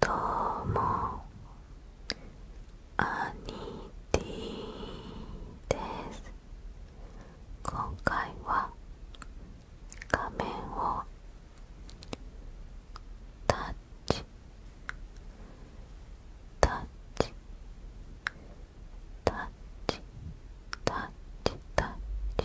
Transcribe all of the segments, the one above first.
どうもアニティです今回は画面をタッチタッチタッチタッチタッチ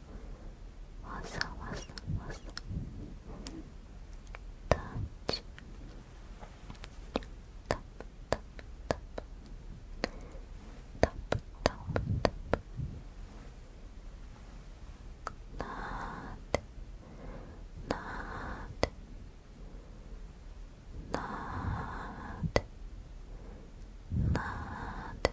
わざわざわざ。タッチタッタッタッタッタッタッなーてなーてなーてなーて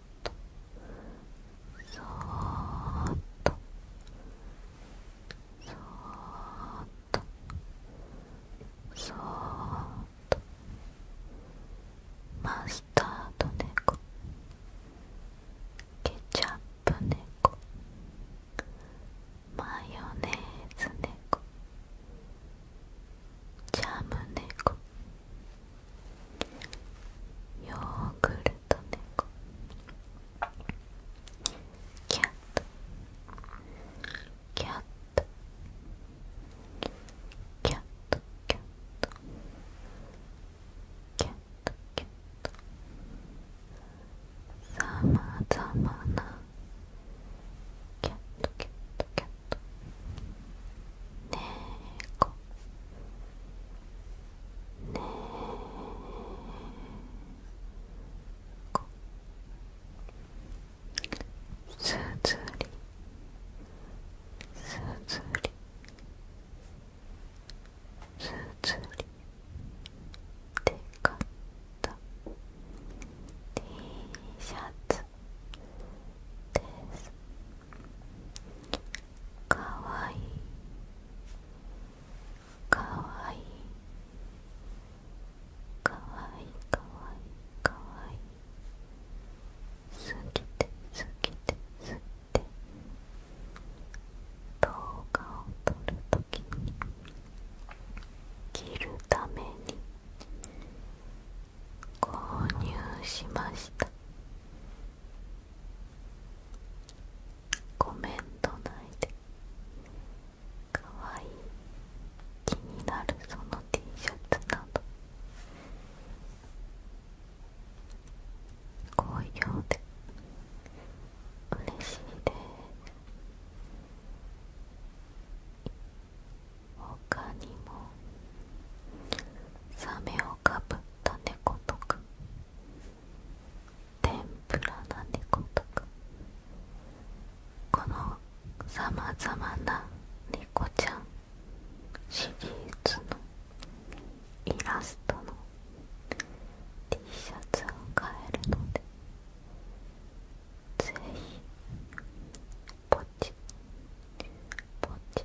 そーっとそーっとそーっとマスタード猫ケチャップ猫マヨネーズ猫ジャム猫ヨーグルト猫キャットキャットキャットキャットキャットキャットさまざまなキャットキャットキャットねーこすずりすずりすずりでかった T シャツですかわいいかわいいかわいいかわいいかわいいすぎてすぎてすぎて動画を撮るときに着るために購入しましたコメントいでかわいい気になるその T シャツなど好評で嬉しいで他にもサメをかぶった猫とか。天ぷらな猫とか。このさまざまな猫ちゃんシリーズのイラストの T シャツを買えるのでぜひポチポチポチ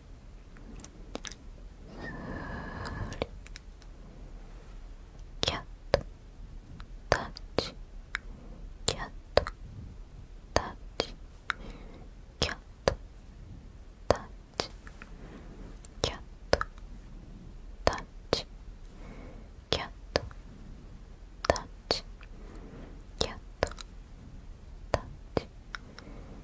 キャットタッチキャットタッチキャットタッチキャットタッチキャットタッチキャットタッチキャットタッチ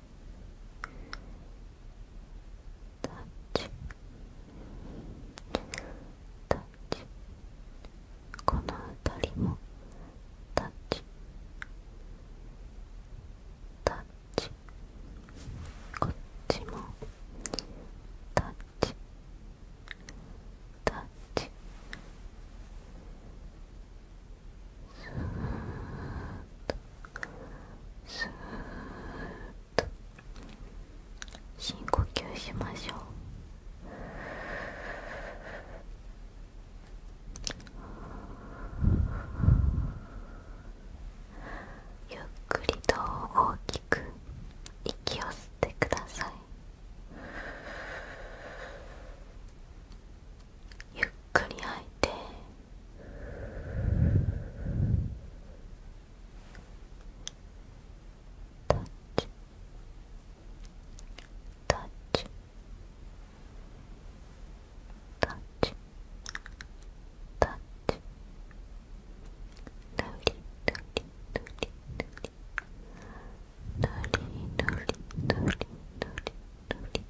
タッチタッチこのあたりもタッチタッチこっちもタッチタッチスーッとスーと深呼吸しましょうゆっくりと大きく息を吸ってくださいゆっくり吐いてタッチタッチタッチタッチぬりぬりぬりぬりぬりぬりぬりぬりぬり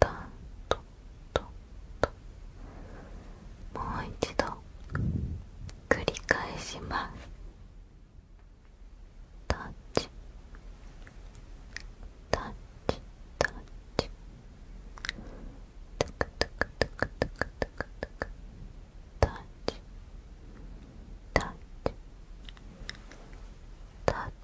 タントトトもう一度繰り返しますタッチタッチタッチトクトクトクトクトクトクタッチタッチタッ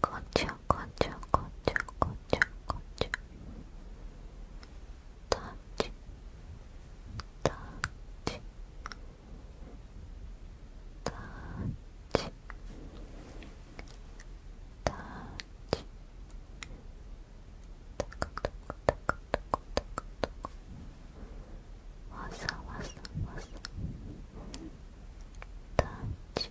こっちゃこっちゃこっちゃこっちゃこっちゃタッチタッチタッチタッチタカタカタカタカタカタカわさわさわさタッチタッチ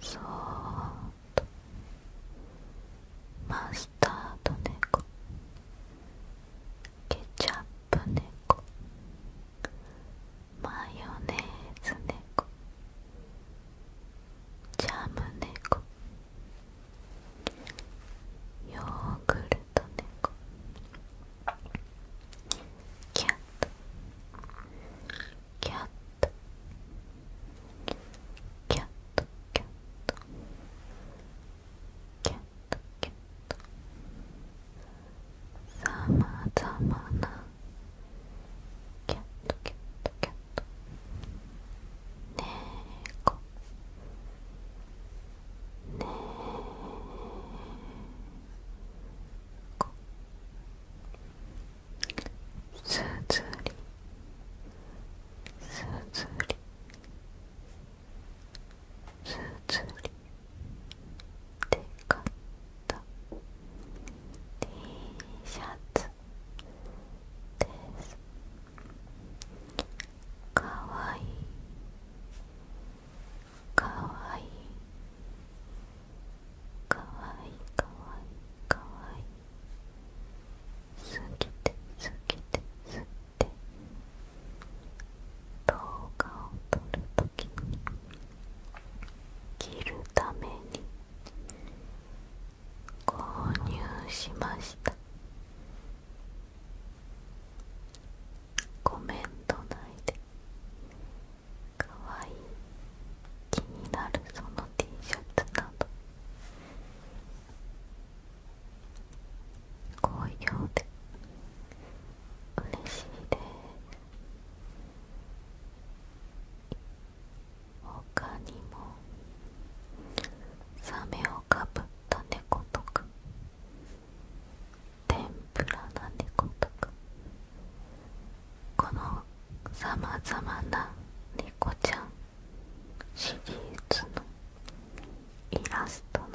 そーっとマスタードコ。ケチャップネコ。マヨネーズネコ。ジャムネコ。ヨーグルトネコ。キャットキャットキャットキャットキャットキャットさまざまなキャットキャットキャットねえ。すずりすずりすずりでかった T シャツですかわいいかわいいかわいいかわいいかわいいすぎてすぎてすぎて動画を撮るときに着るために購入しましたコメントないでかわいい気になるその T シャツなど好評で嬉しいで他にもサメをかぶった猫とか天ぷらな猫とかこのさまざまな猫ちゃんシリーズのイラストの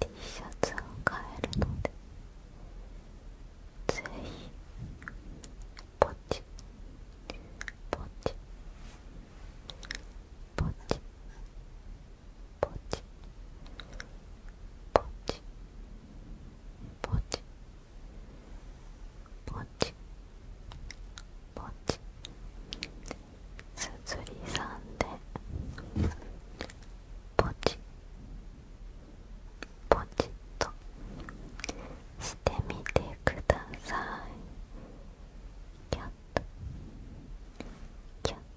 T シャツを買えるのでぜひポチポチポチポチポチポチポチポチすずりさんでポチポチとしてみてくださいキャッと。キャット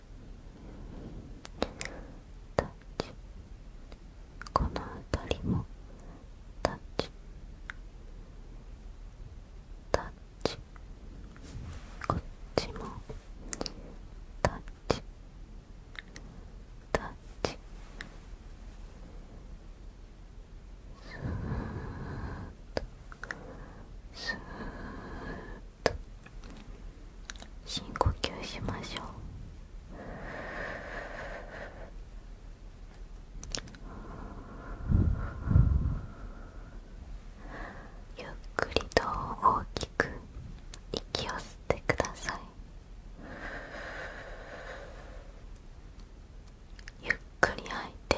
タッチこのあたりもタッチタッチこっちもタッチタッチスーッとスーッ深呼吸しましょうゆっくりと大きく息を吸ってくださいゆっくり吐いて